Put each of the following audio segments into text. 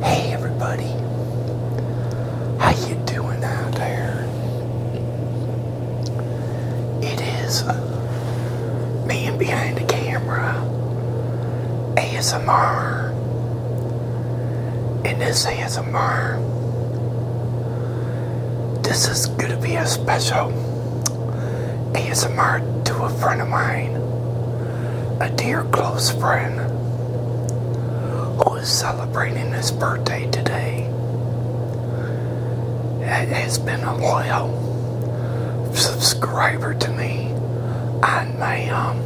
Hey everybody, how you doing out there? It is man behind the camera, ASMR, and this ASMR, this is gonna be a special a mark to a friend of mine, a dear close friend, who is celebrating his birthday today. It has been a loyal subscriber to me on my um,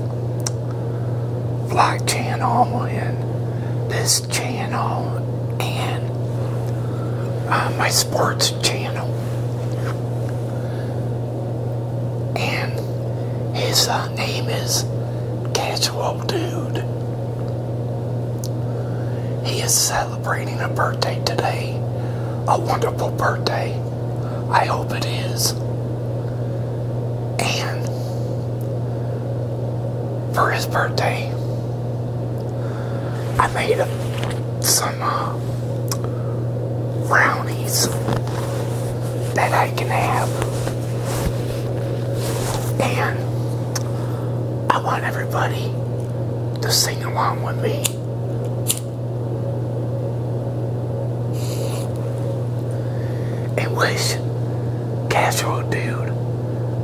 vlog channel and this channel and uh, my sports channel. And his uh, name is Casual Dude. He is celebrating a birthday today. A wonderful birthday. I hope it is. And for his birthday, I made some uh, brownies that I can have. And I want everybody to sing along with me. And wish Casual Dude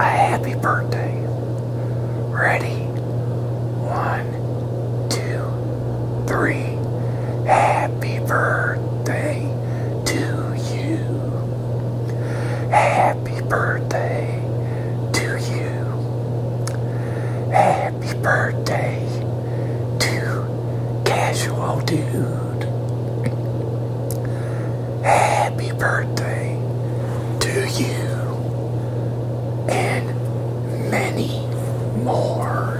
a happy birthday. Ready? One, two, three. Happy birthday to you. Happy birthday to you. Happy birthday to Casual Dude happy birthday to you and many more.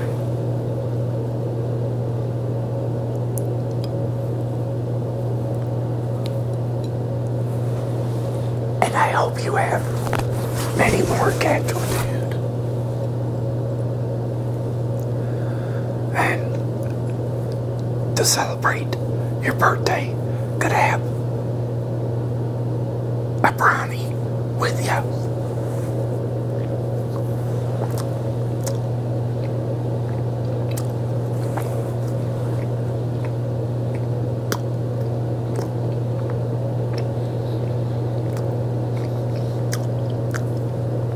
And I hope you have many more cats dude. And to celebrate your birthday gonna have a brownie with you.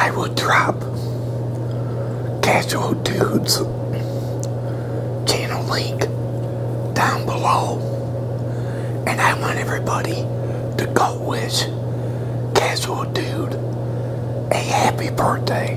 I will drop Casual Dudes channel link down below and I want everybody to go wish Casual Dude a happy birthday.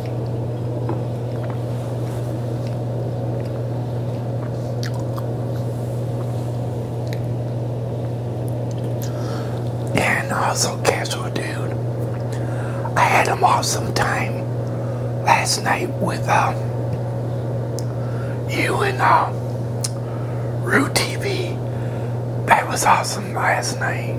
And also Casual Dude. I had him awesome time last night with uh, you and uh, Rue TV. That was awesome awesome last night.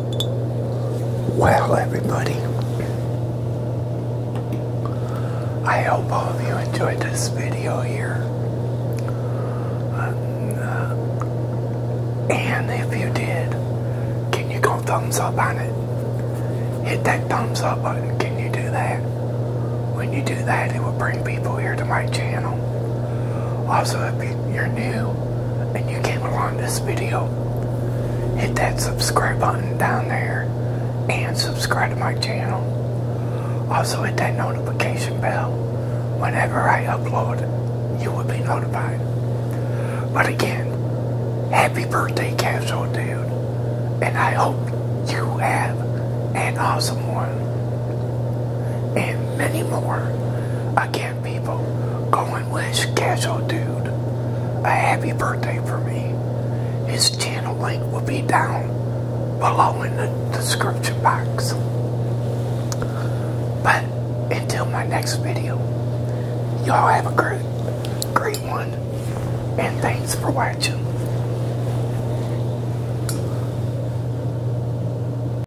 Well, everybody, I hope all of you enjoyed this video here. Uh, and if you did, can you go thumbs up on it? Hit that thumbs up button. Can you do that? When you do that, it will bring people here to my channel. Also, if you you're new and you came along this video, hit that subscribe button down there and subscribe to my channel. Also hit that notification bell. Whenever I upload, you will be notified. But again, happy birthday, Casual Dude. And I hope you have an awesome one. And many more. Again, people going, with Casual Dude a happy birthday for me. His channel link will be down below in the description box. But until my next video, y'all have a great, great one. And thanks for watching.